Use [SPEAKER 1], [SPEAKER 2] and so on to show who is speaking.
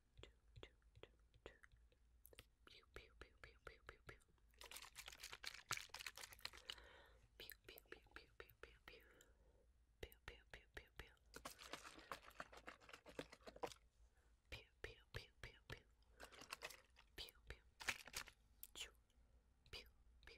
[SPEAKER 1] choo, choo, choo, choo. Pew, pew, pew, pew, pew, pew, pew. Pew, pew, pew, pew, pew, pew, pew. Pew, pew, pew, pew, pew. Pew, pew, pew, pew, pew. Pew, pew. Choo. Pew, pew, pew